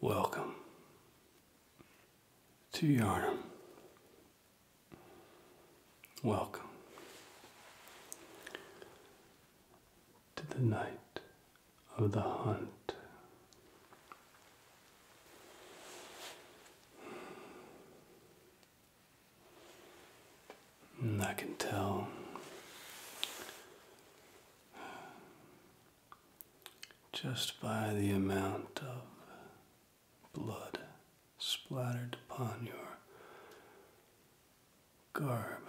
Welcome to Yarnum. Welcome to the night of the hunt. Mm, I can tell just by the amount of blood splattered upon your garb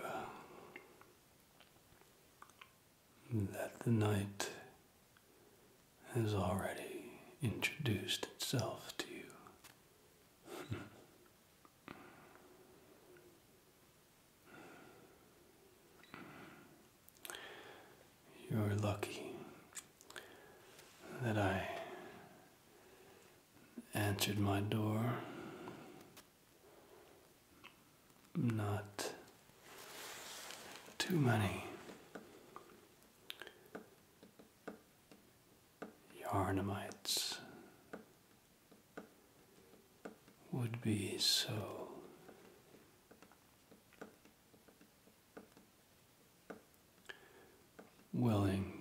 that the night has already introduced itself to you. You're lucky that I answered my door, not too many Yarnamites would be so willing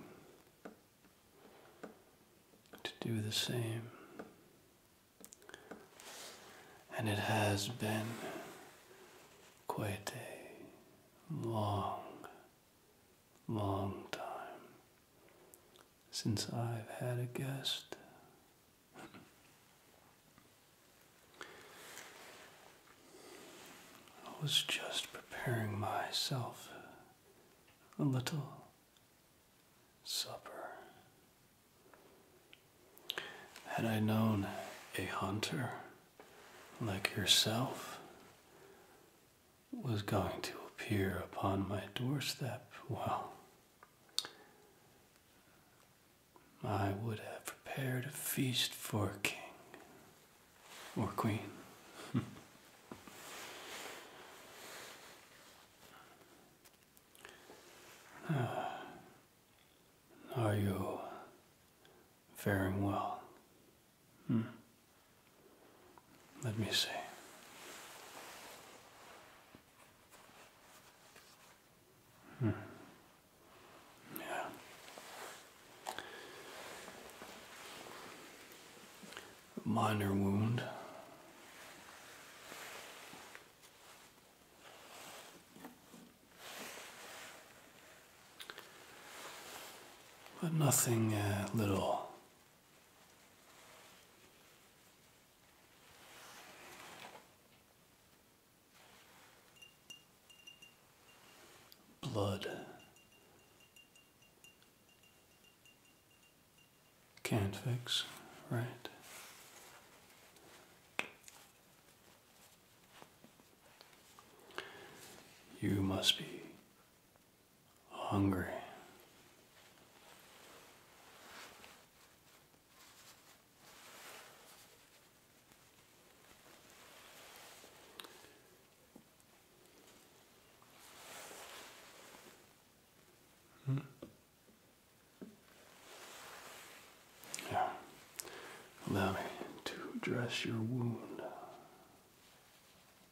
to do the same. And it has been quite a long Long time since I've had a guest. I was just preparing myself a little supper. Had I known a hunter like yourself, was going to appear upon my doorstep, well, I would have prepared a feast for king or queen. Ah, are you faring well? Hmm. Let me see. Hmm. Yeah. Minor wound. But nothing uh, little Blood can't fix, right? You must be hungry. Hmm. Yeah. Allow me to dress your wound.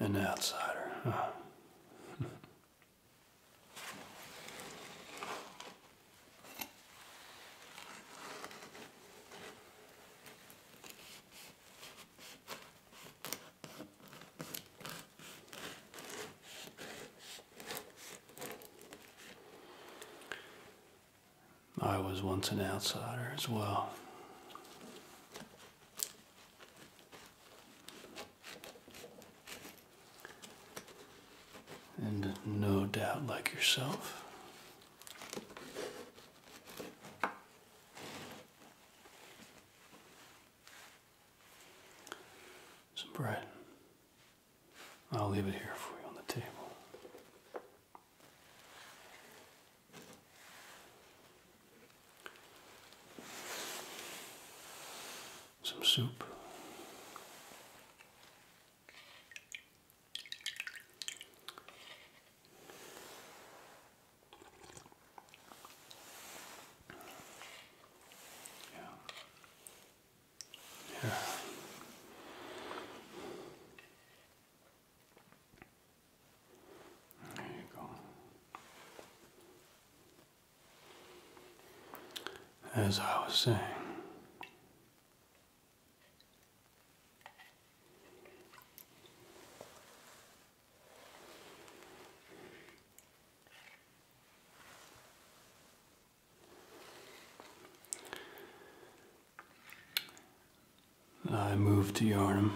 an outsider. I was once an outsider as well. And no doubt, like yourself, some bread. I'll leave it here for you on the table some soup. Yeah. Yeah. There you go. As I was saying, I moved to Yarnum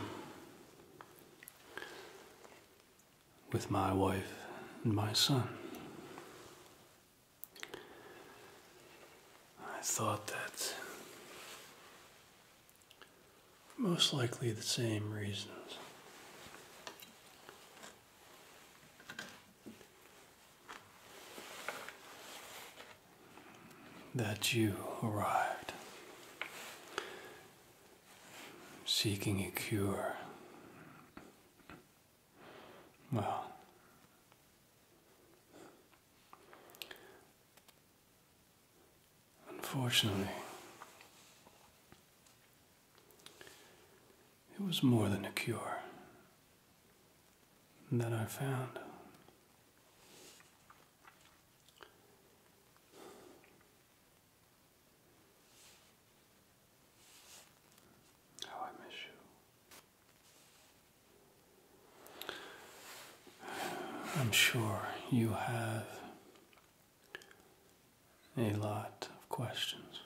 with my wife and my son. I thought that most likely the same reasons. That you arrived seeking a cure. Well, unfortunately, it was more than a cure that I found. How I miss you. I'm sure you have a lot of questions,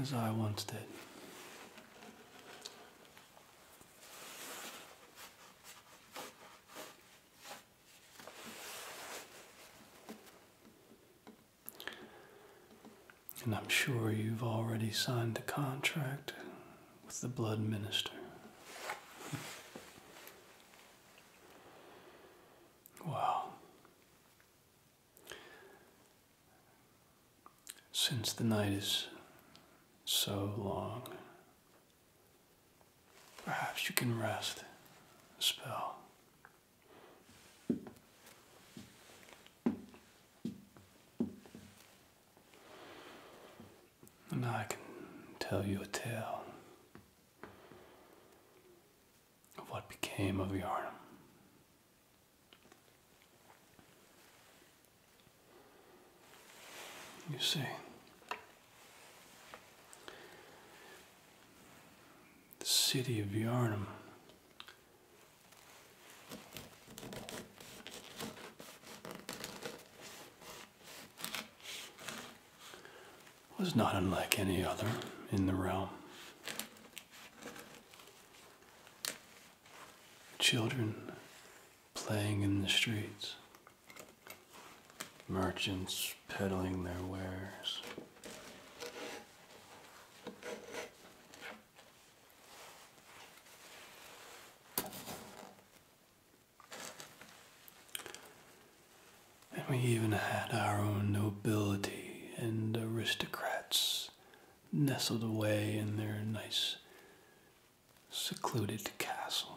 as I once did. And I'm sure you've already signed the contract with the blood minister. wow. Since the night is so long, Perhaps you can rest a spell. And I can tell you a tale of what became of Yarnum. You see, the city of Yarnum. was not unlike any other in the realm. Children playing in the streets, merchants peddling their wares. And we even had our own nobility and aristocrats nestled away in their nice secluded castle.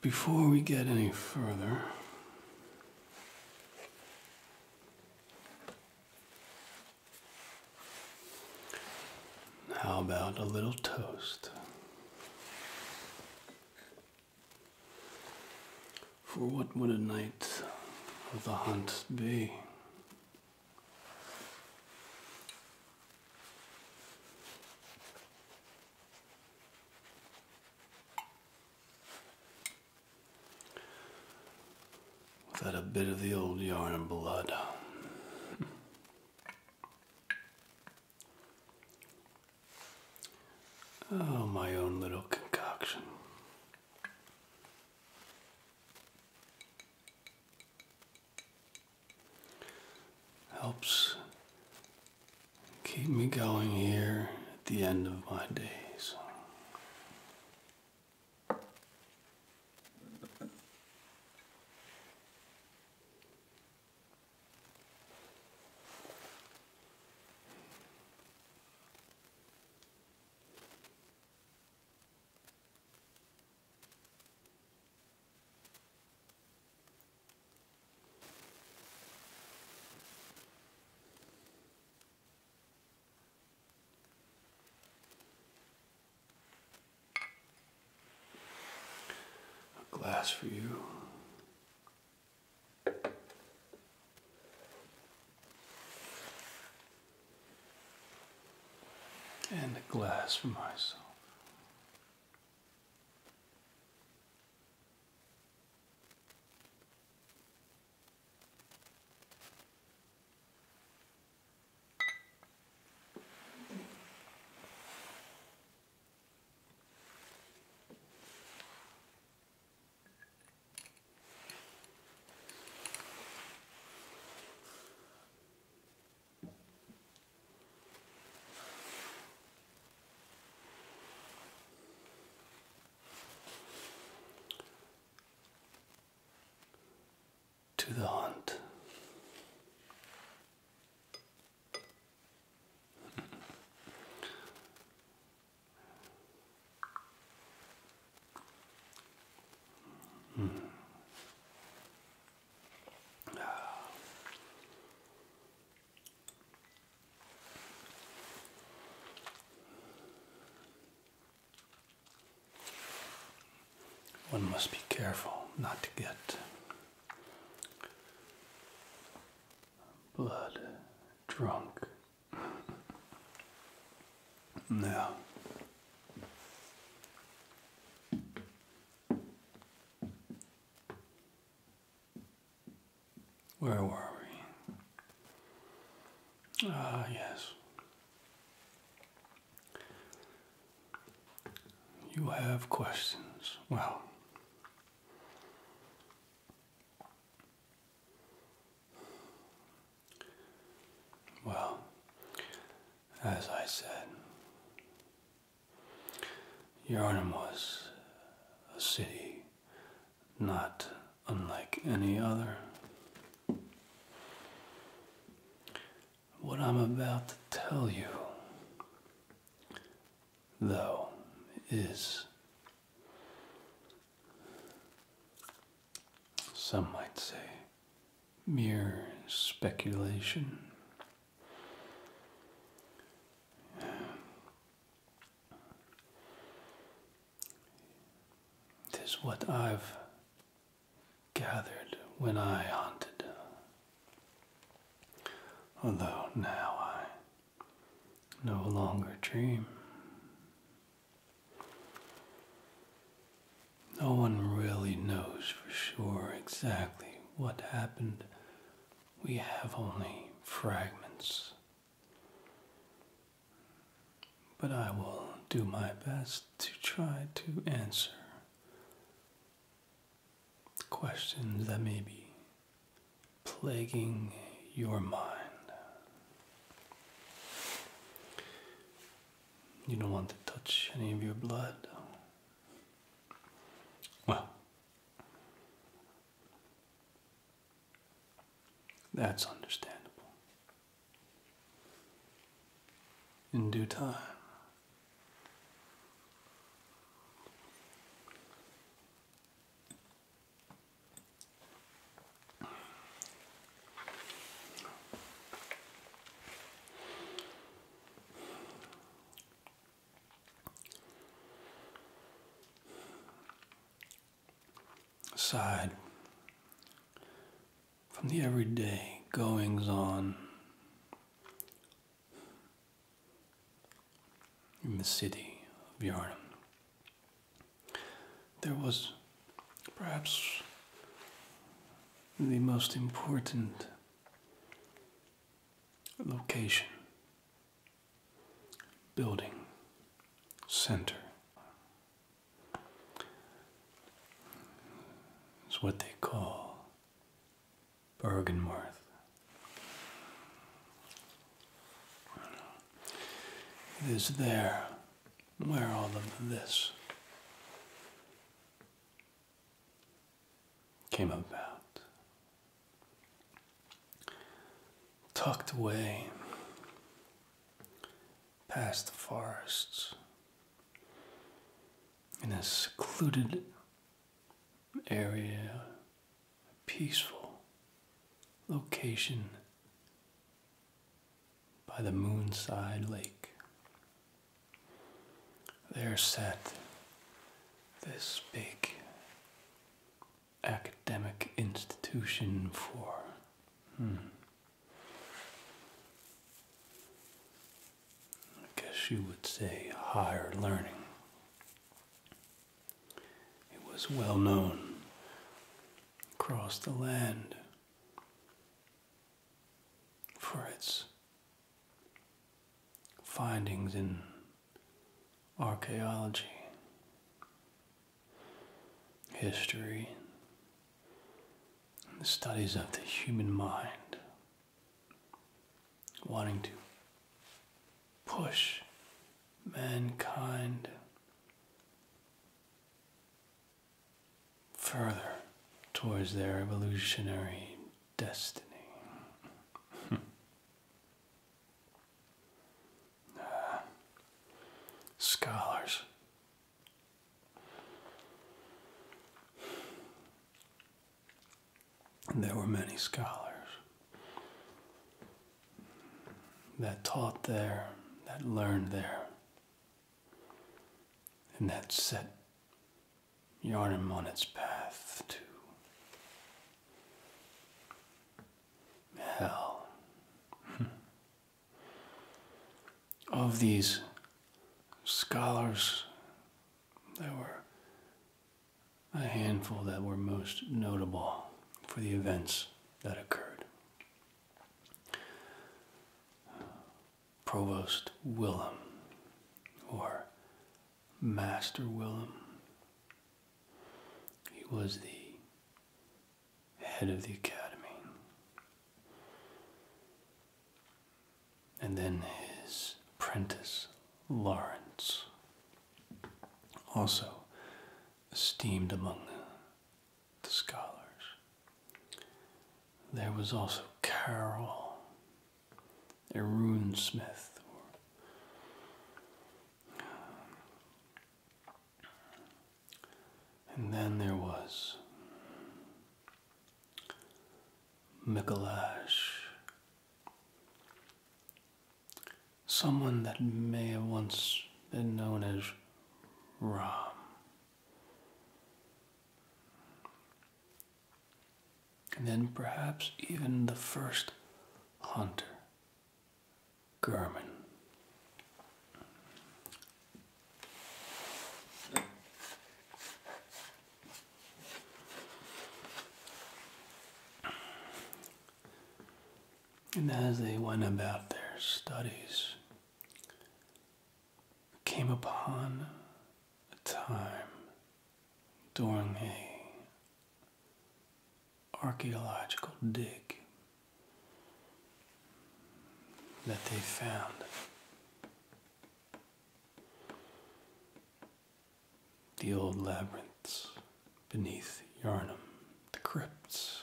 before we get any further, how about a little toast? For what would a night of the hunt be that, a bit of the old yarn and blood. Oh, my own little concoction. Helps keep me going here at the end of my days. A glass for you and a glass for myself. To the hunt. Mm. Ah. One must be careful not to get blood drunk. Now, where are we? Ah, yes. You have questions. Well, well, as I said, Yarnum was a city not unlike any other. What I'm about to tell you, though, is some might say mere speculation. Tis what I've gathered when I haunted. although now I no longer dream. No one really knows for sure exactly what happened. We have only fragments. But I will do my best to try to answer questions that may be plaguing your mind. You don't want to touch any of your blood. Well, that's understandable. In due time aside from the everyday goings on in the city of Yarnum. There was perhaps the most important location, building, center. It's what they call Bergenworth. It is there where all of this came about. Tucked away past the forests in a secluded area, peaceful location by the moonside lake. There sat this big academic institution for. Hmm, I guess you would say higher learning. It was well known across the land for its findings in archaeology, history, the studies of the human mind, wanting to push mankind further towards their evolutionary destiny. Hmm. Ah. scholars. There were many scholars that taught there, that learned there, and that set Yarnum on its path to hell. Hmm. of these scholars, there were a handful that were most notable for the events that occurred. Provost Willem or Master Willem. He was the head of the academy. And then his apprentice, Lawrence, also esteemed among the scholars. There was also Carol, a rune smith, And then there was Mikolash, someone that may have once been known as Ram. And then perhaps even the first hunter, German. And as they went about their studies, came upon a time during a archaeological dig that they found the old labyrinths beneath Yarnum, the crypts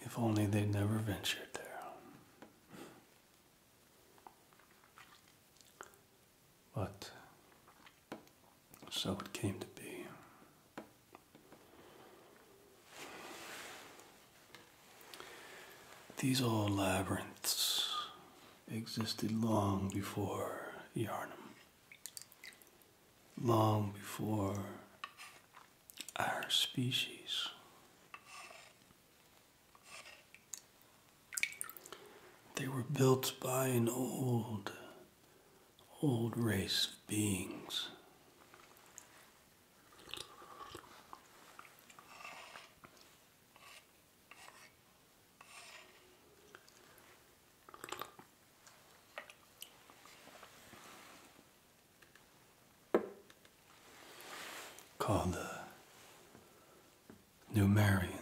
if only they'd never ventured there. But so it came to be. These old labyrinths existed long before Yarnum long before our species. They were built by an old, old race of beings called the Numerians,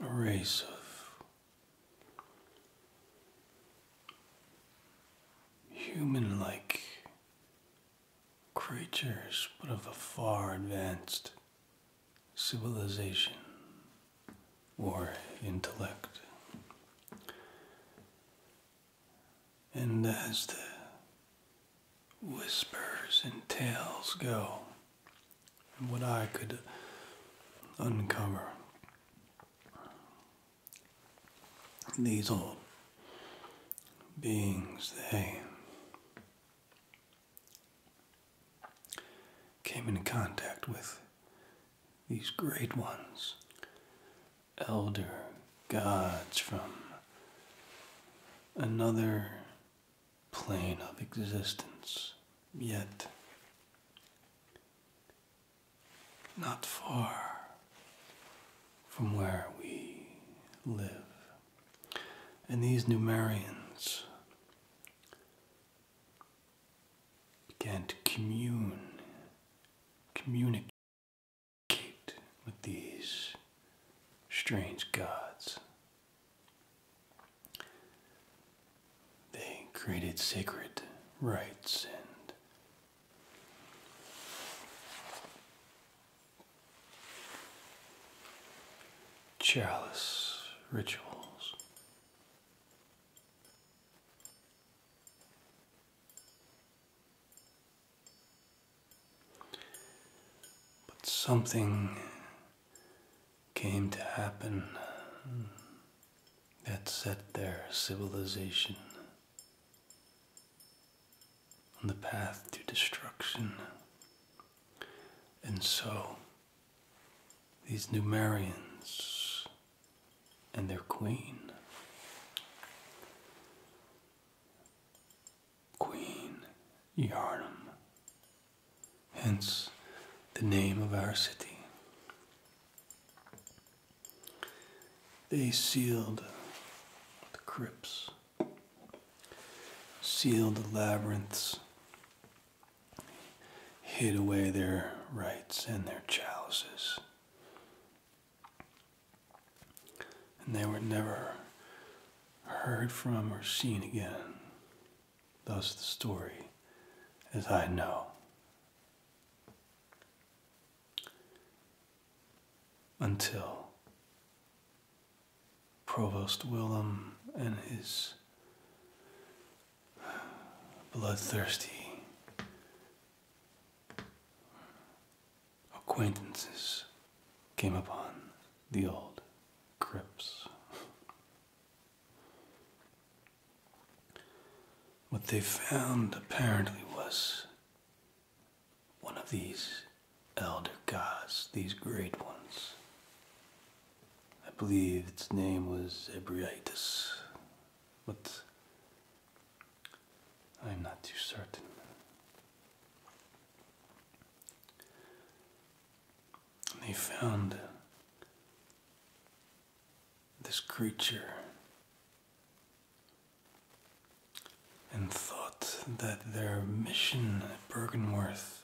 a race of human like creatures, but of a far advanced civilization or intellect. And as the whispers and tales go, and what I could uncover, these old beings, they came into contact with these great ones, elder gods from another plane of existence, yet not far from where we live. And these Numerians began to commune, communicate with these strange gods. They created sacred rites and chalice rituals. But something came to happen that set their civilization on the path to destruction. And so these Numerians and their queen. Queen Yarnum, hence the name of our city. They sealed the crypts, sealed the labyrinths hid away their rights and their chalices. And they were never heard from or seen again. Thus the story as I know. Until Provost Willem and his bloodthirsty acquaintances came upon the old crypts. What they found apparently was one of these elder gods, these great ones, I believe its name was Ebriatus, but I'm not too certain. They found this creature and thought that their mission at Bergenworth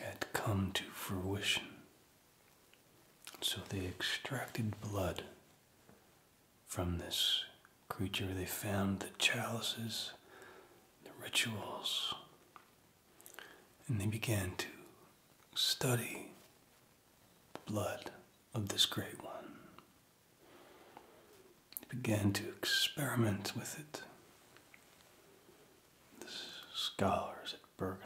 had come to fruition. So they extracted blood from this creature. They found the chalices, the rituals, and they began to study the blood of this great one began to experiment with it. The scholars at Bergenworth.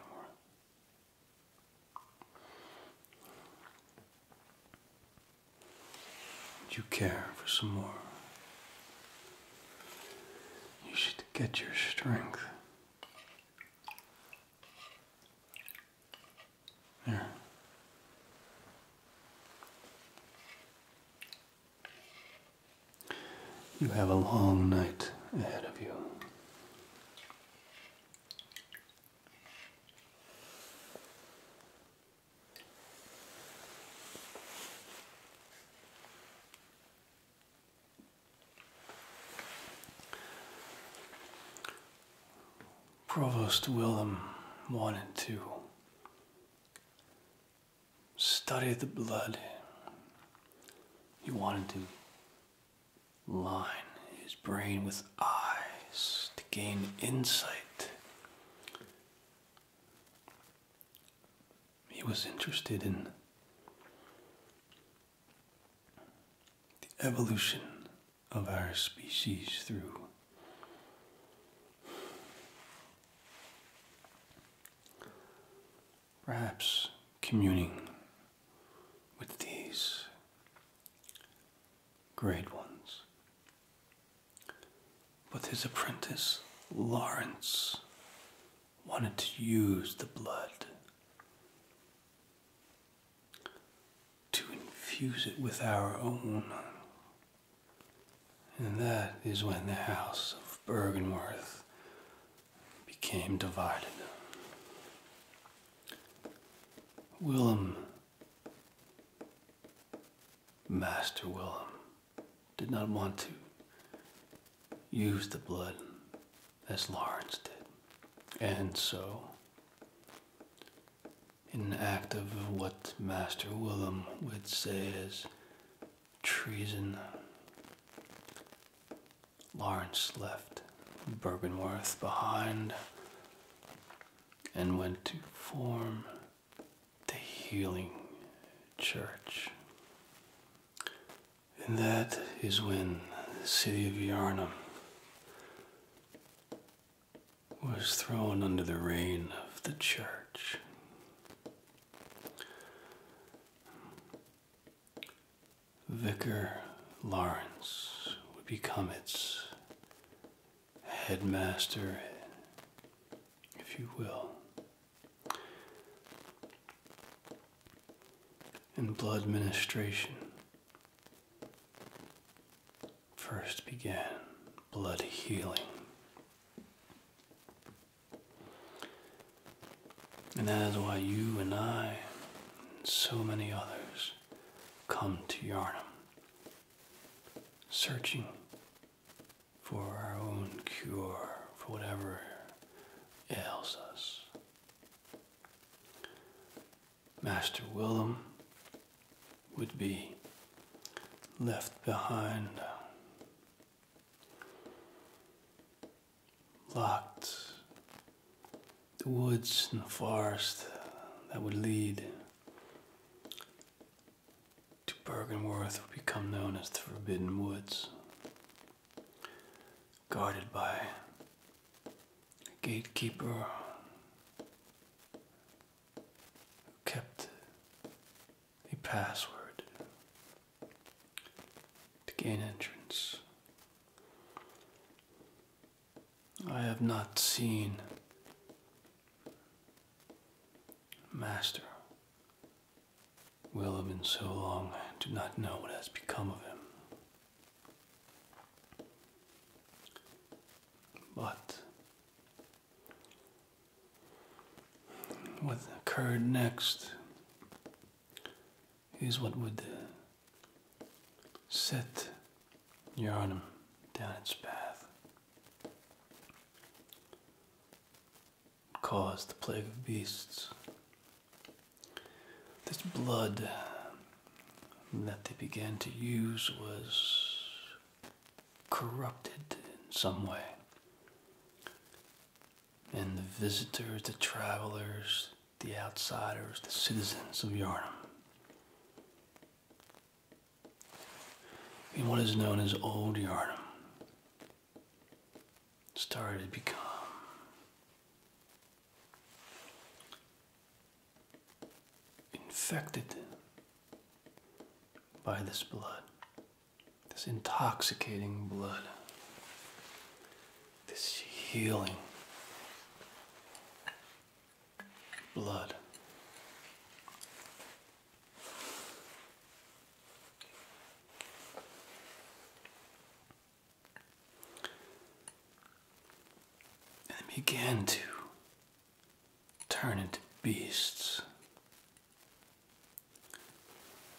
Would you care for some more? You should get your strength. There. You have a long night ahead of you. Provost Willem wanted to study the blood. He wanted to line his brain with eyes to gain insight. He was interested in the evolution of our species through Perhaps communing with these great ones. But his apprentice, Lawrence, wanted to use the blood to infuse it with our own and that is when the house of Bergenworth became divided. Willem, Master Willem, did not want to use the blood as Lawrence did. And so, in an act of what Master Willem would say is treason. Lawrence left Bergenworth behind and went to form the Healing Church. And that is when the city of Yarnum was thrown under the reign of the church. Vicar Lawrence would become its headmaster, if you will. And blood ministration first began blood healing and that is why you and I, and so many others, come to Yarnum, searching for our own cure for whatever ails us. Master Willem would be left behind Locked. The woods and the forest that would lead to Bergenworth would become known as the Forbidden Woods, guarded by a gatekeeper who kept a password to gain entrance. I have not seen Master Willem in so long, I do not know what has become of him. But what occurred next is what would set Yarnum down its path, cause the plague of beasts. This blood that they began to use was corrupted in some way. And the visitors, the travelers, the outsiders, the citizens of Yarnum. In what is known as Old Yarnum, started to become infected by this blood this intoxicating blood, this healing blood. And began to turn into beasts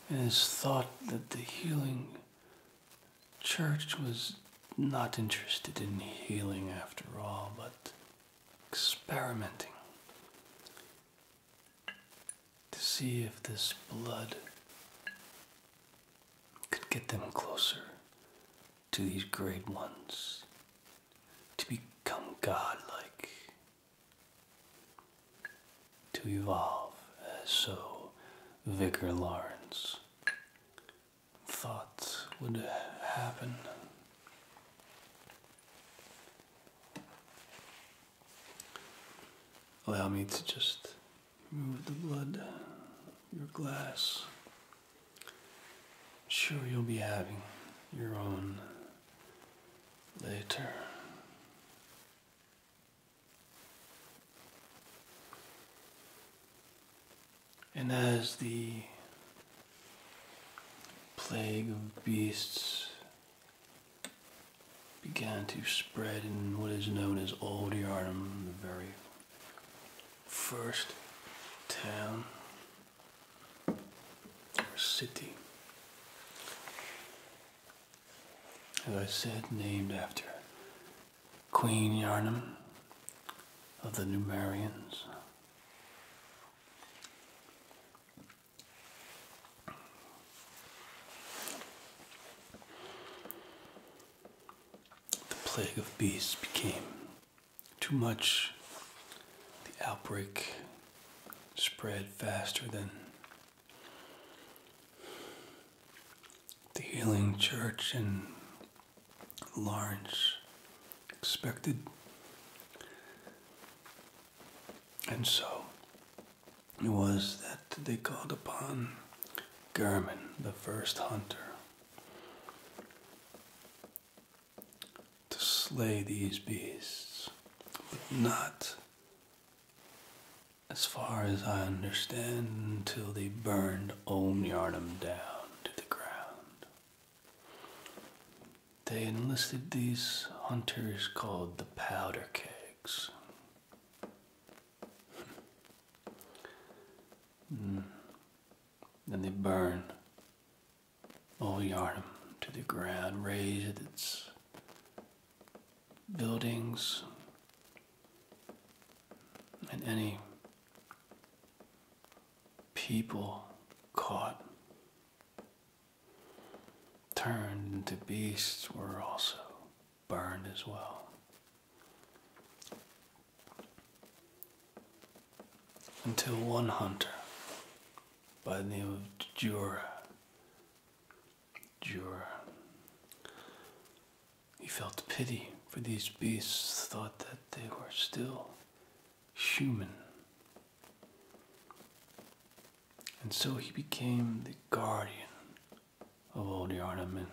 it is thought that the healing church was not interested in healing after all, but experimenting to see if this blood could get them closer to these great ones, to become godlike to evolve as so Vicar Lawrence Thoughts would happen. Allow me to just remove the blood your glass. sure, you'll be having your own later. And as the plague of beasts began to spread in what is known as Old Yarnum, the very first town our city. As I said, named after Queen Yarnum of the Numerians. The plague of beasts became too much the outbreak spread faster than the healing church in Lawrence expected. And so it was that they called upon German, the first hunter, to slay these beasts, but not, as far as I understand, until they burned Olniarnum down to the ground. They enlisted these hunters called the Powder Kegs. Hmm. Hmm. And they burned old Yarnum to the ground, razed its buildings and any people caught turned into beasts were also burned as well. Until one hunter by the name of Jura. Jura. He felt pity for these beasts, thought that they were still human. And so he became the guardian of all the Yarnaman.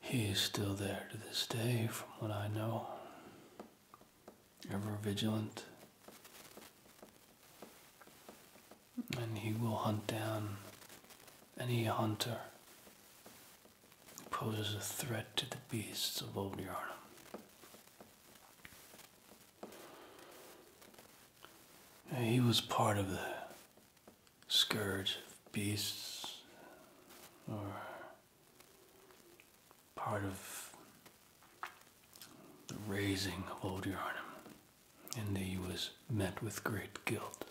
He is still there to this day, from what I know ever vigilant, and he will hunt down any hunter who poses a threat to the beasts of Old Yarnum. He was part of the scourge of beasts, or part of the raising of old Yarnum, and he was met with great guilt.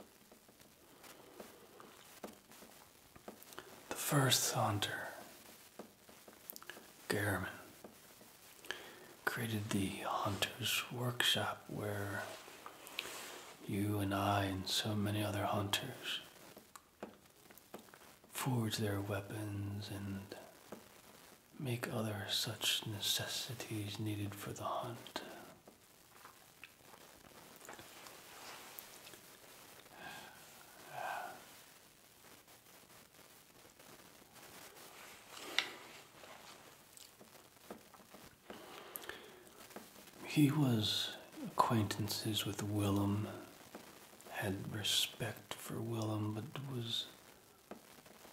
The first hunter, Garamond, created the Hunter's Workshop where you and I and so many other hunters forge their weapons and make other such necessities needed for the hunt. He was acquaintances with Willem had respect for Willem, but was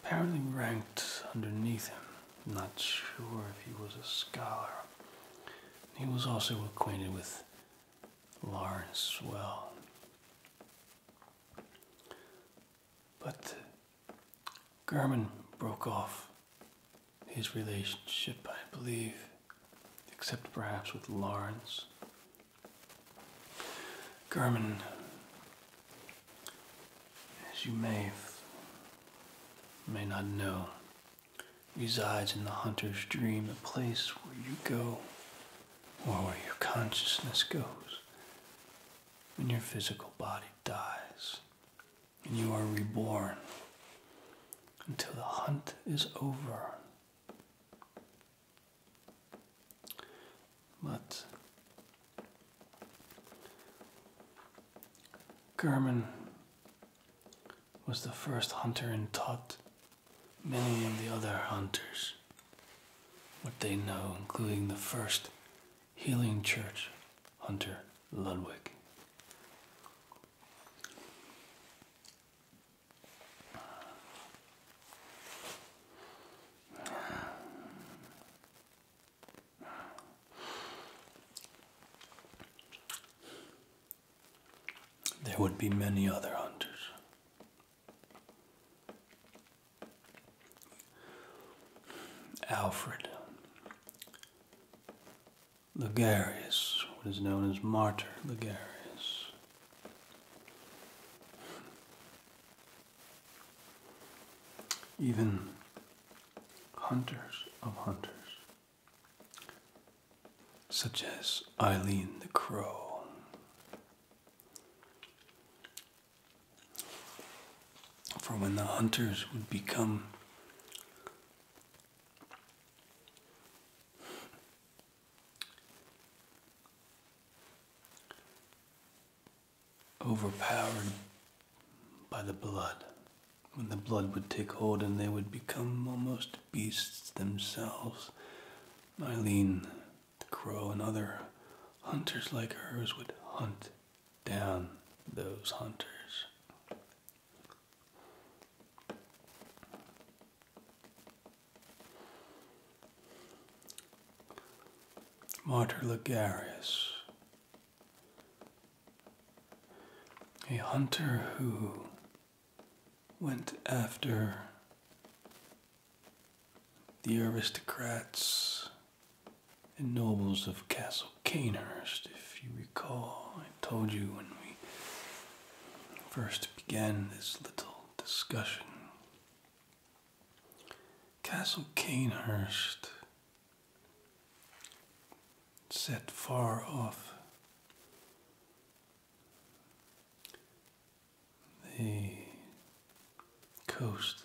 apparently ranked underneath him. Not sure if he was a scholar. He was also acquainted with Lawrence well. But German broke off his relationship, I believe, except perhaps with Lawrence. German, as you may may not know, resides in the hunter's dream, the place where you go, or where your consciousness goes, when your physical body dies, and you are reborn until the hunt is over but German was the first hunter and taught many of the other hunters what they know, including the first healing church hunter, Ludwig. There would be many other hunters. Alfred Ligarius, what is known as Martyr Ligarius. Even hunters of hunters, such as Eileen the Crow. For when the hunters would become overpowered by the blood. When the blood would take hold and they would become almost beasts themselves, Aileen, the crow, and other hunters like hers would hunt down those hunters. Martyr Ligarius, a hunter who went after the aristocrats and nobles of Castle Canehurst, if you recall told you when we first began this little discussion. Castle Canehurst set far off. The coast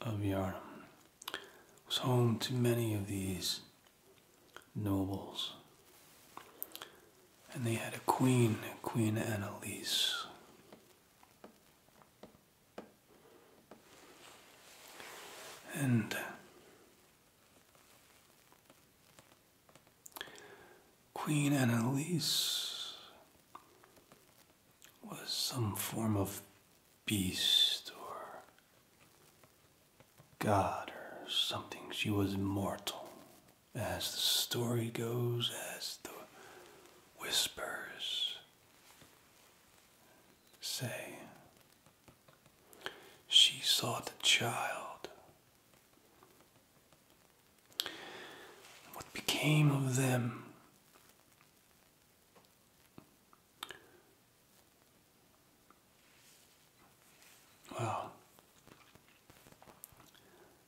of Yarmouth, was home to many of these nobles. And they had a queen, Queen Annalise. And Queen Annalise was some form of beast or god or something. She was immortal, as the story goes, as the whispers say. She sought the child. What became of them? Well,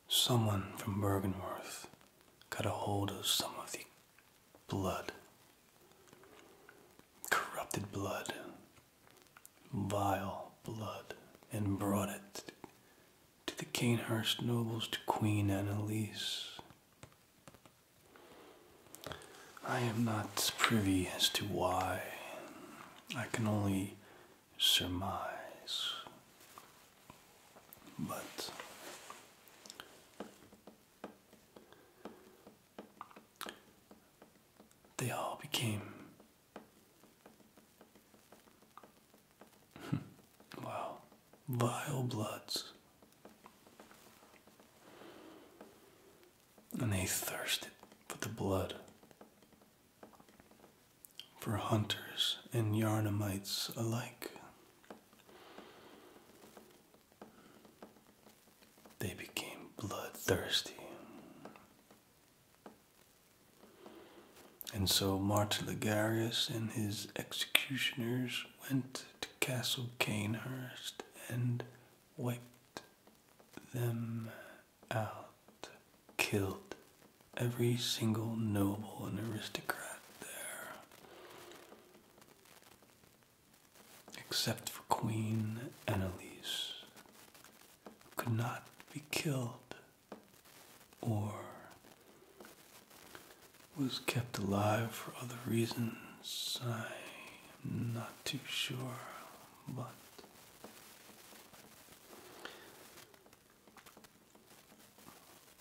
someone from Bergenworth got a hold of some of the blood, corrupted blood, vile blood, and brought it to the Canehurst nobles, to Queen Annalise. I am not privy as to why I can only surmise, but they all became. wow, vile bloods and they thirsted for the blood. For hunters and Yarnamites alike, they became bloodthirsty. And so Martin Ligarius and his executioners went to Castle Canehurst and wiped them out, killed every single noble and aristocrat there, except for Queen Annalise, could not be killed or was kept alive for other reasons. I'm not too sure, but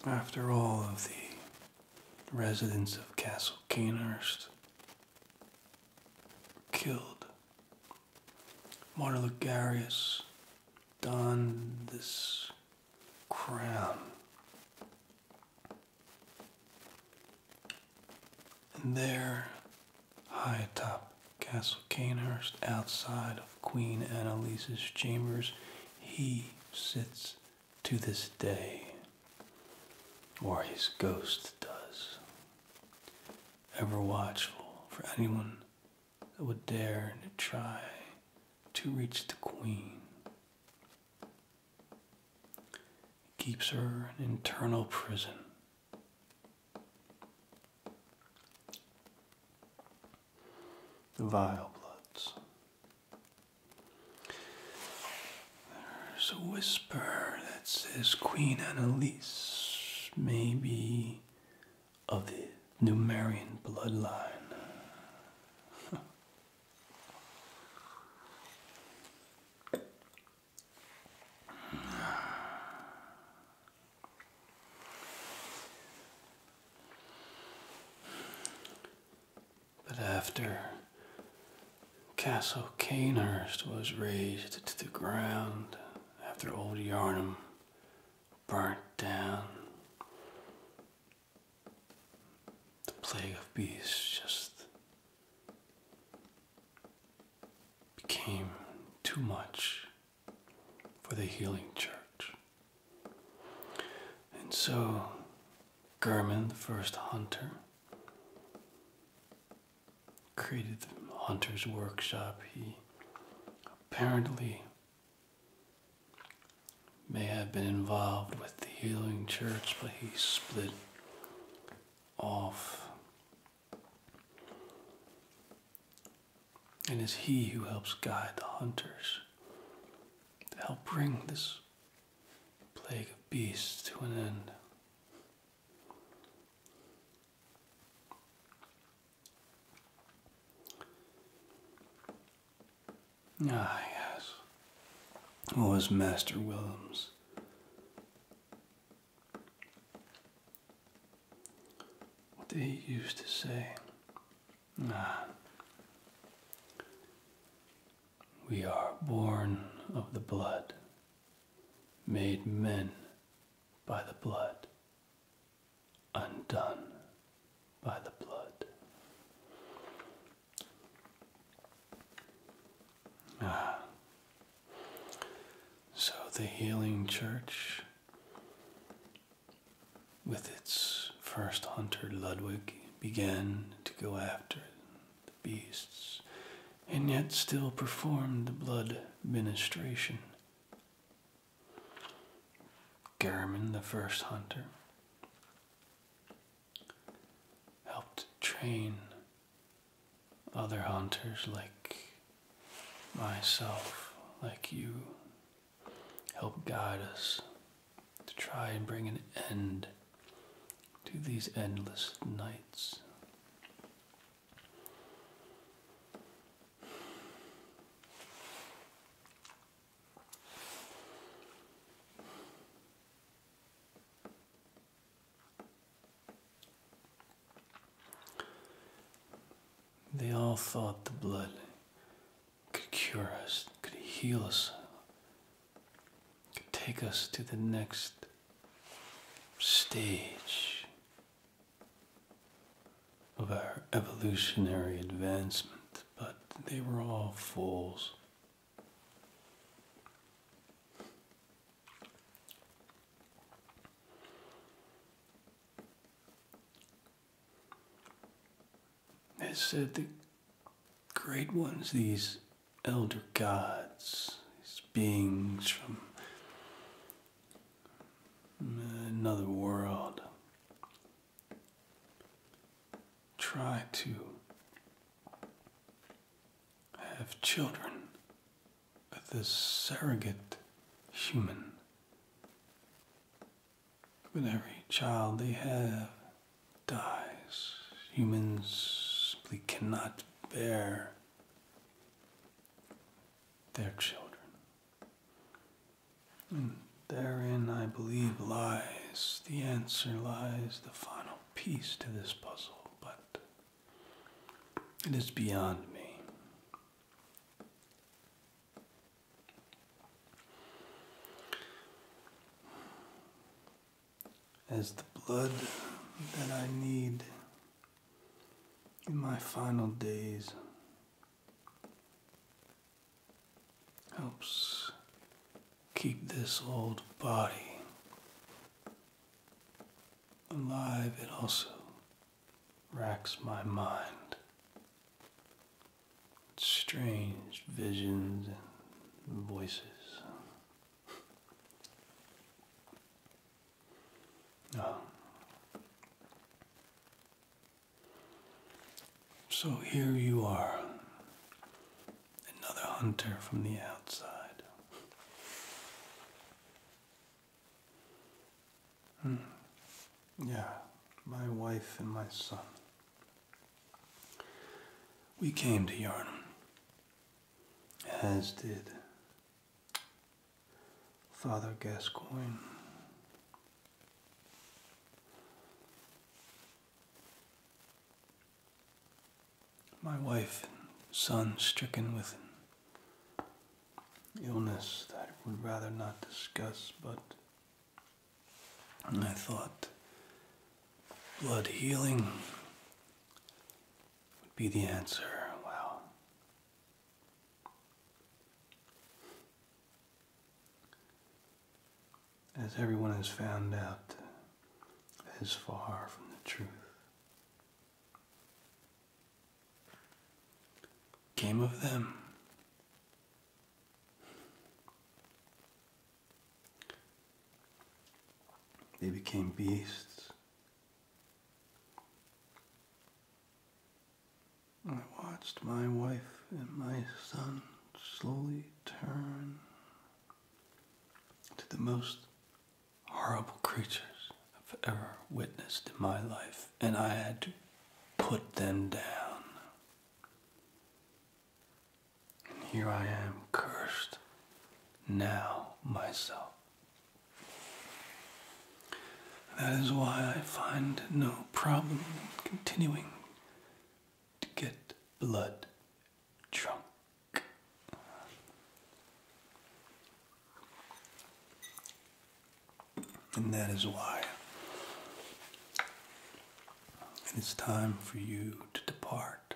after all of the residents of Castle Canehurst killed, Marta Lucarius donned this crown and there, high atop Castle Canehurst, outside of Queen Annalise's chambers, he sits to this day, or his ghost does, ever watchful for anyone that would dare to try to reach the Queen. He keeps her an eternal prison Vile bloods. There's a whisper that says Queen Annalise may be of the Numarian bloodline. But after Castle Canehurst was razed to the ground, after old Yarnham burnt down, the plague of beasts just became too much for the healing church. And so German, the first hunter, created the hunter's workshop. He apparently may have been involved with the healing church, but he split off and it's He who helps guide the hunters to help bring this plague of beasts to an end. Ah, yes. Was Master Williams what did he used to say? We are born of the blood, made men by the blood, undone by the blood. Uh, so, the Healing Church, with its first hunter Ludwig, began to go after the beasts and yet still performed the blood ministration. Garmin, the first hunter, helped train other hunters like myself, like you, help guide us to try and bring an end to these endless nights. They all thought the blood could cure us, could heal us, could take us to the next stage of our evolutionary advancement, but they were all fools. They said the great ones, these elder gods, these beings from another world, try to have children but the surrogate human. But every child they have dies. Humans simply cannot bear their children. And therein, I believe, lies the answer, lies the final piece to this puzzle. But it is beyond me. As the blood that I need in my final days helps keep this old body alive, it also racks my mind. With strange visions and voices. Oh. So here you are, another hunter from the outside. Mm. Yeah, my wife and my son. We came to Yarnum, as did Father Gascoigne my wife and son stricken with illness that I would rather not discuss, but I thought blood healing would be the answer. Wow. As everyone has found out, is far from the truth. Game of them. They became beasts. I watched my wife and my son slowly turn to the most horrible creatures I've ever witnessed in my life, and I had to put them down. And here I am, cursed now myself. That is why I find no problem continuing to get blood drunk. And that is why it is time for you to depart,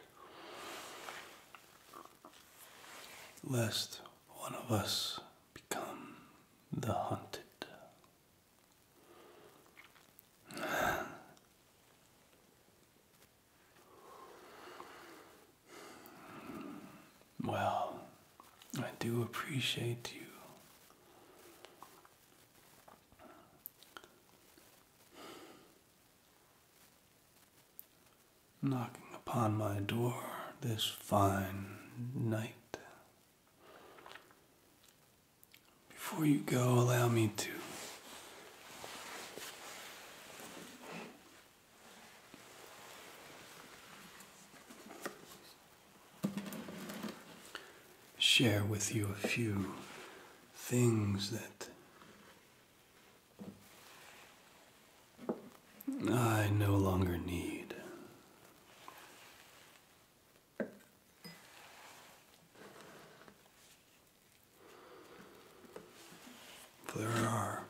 lest one of us become the hunted. Well, I do appreciate you. Knocking upon my door this fine night. Before you go, allow me to share with you a few things that I no longer need there are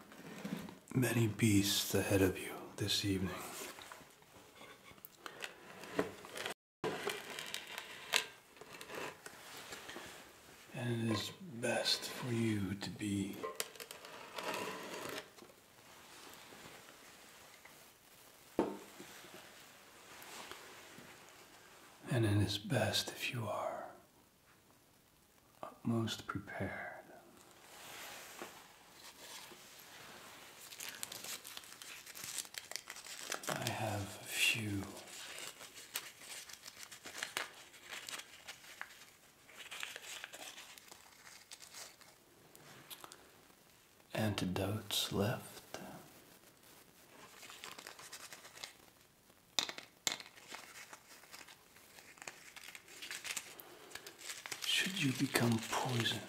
many beasts ahead of you this evening. And it is best for you to be and it is best if you are Upmost prepared. I have a few antidotes left. Should you become poisoned,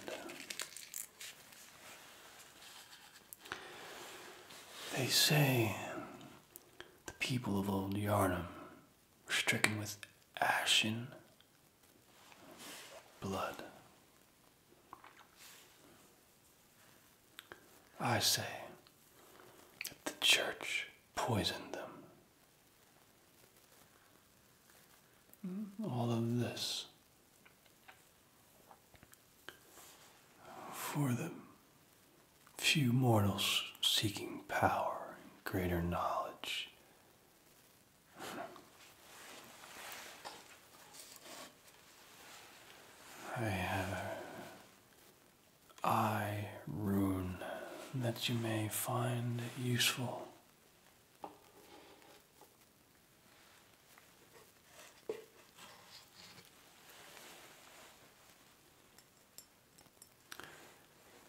they say the people of old Yarnham were stricken with ashen blood. I say at the church poisoned them. All of this for the few mortals seeking power and greater knowledge. I have I rune that you may find useful.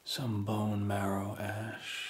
Some bone marrow ash.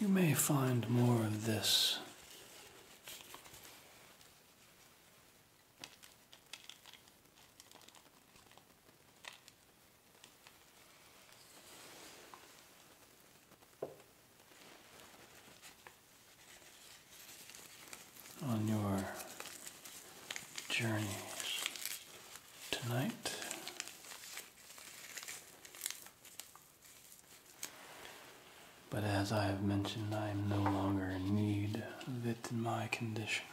You may find more of this on your journeys tonight. But as I have mentioned, I am no longer in need of it in my condition.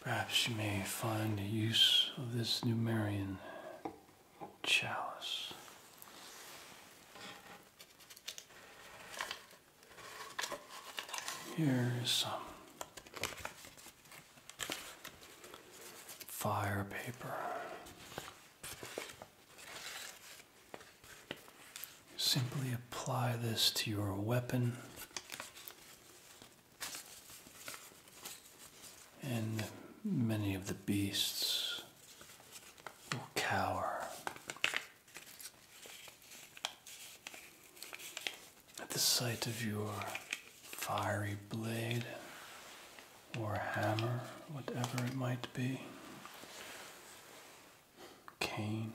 Perhaps you may find the use of this Numerian chalice. Here is some fire paper. Simply apply this to your weapon and many of the beasts will cower. At the sight of your fiery blade or hammer, whatever it might be, cane.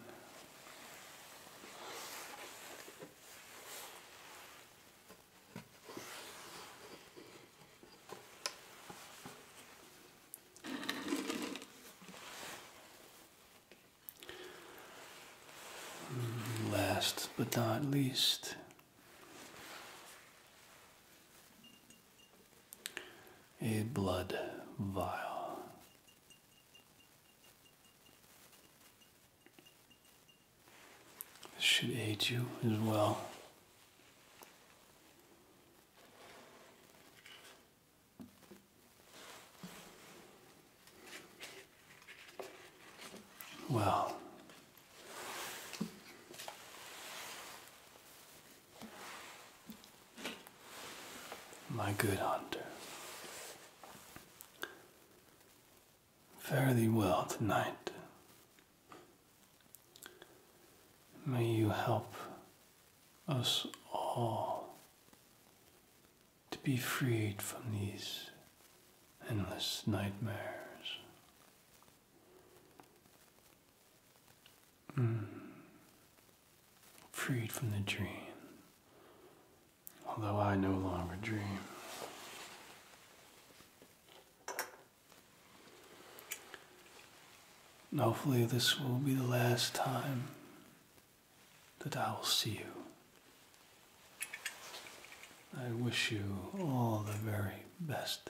Last but not least, a blood vial. This should aid you as well. Well, my good hunter, Fare thee well tonight. May you help us all to be freed from these endless nightmares. Hmm. Freed from the dream although I no longer dream. hopefully, this will be the last time that I will see you. I wish you all the very best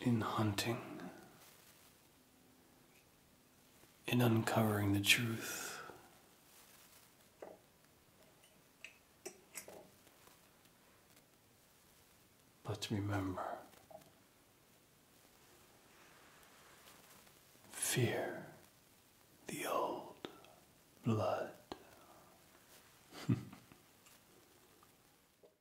in hunting, in uncovering the truth. But remember, fear the old blood.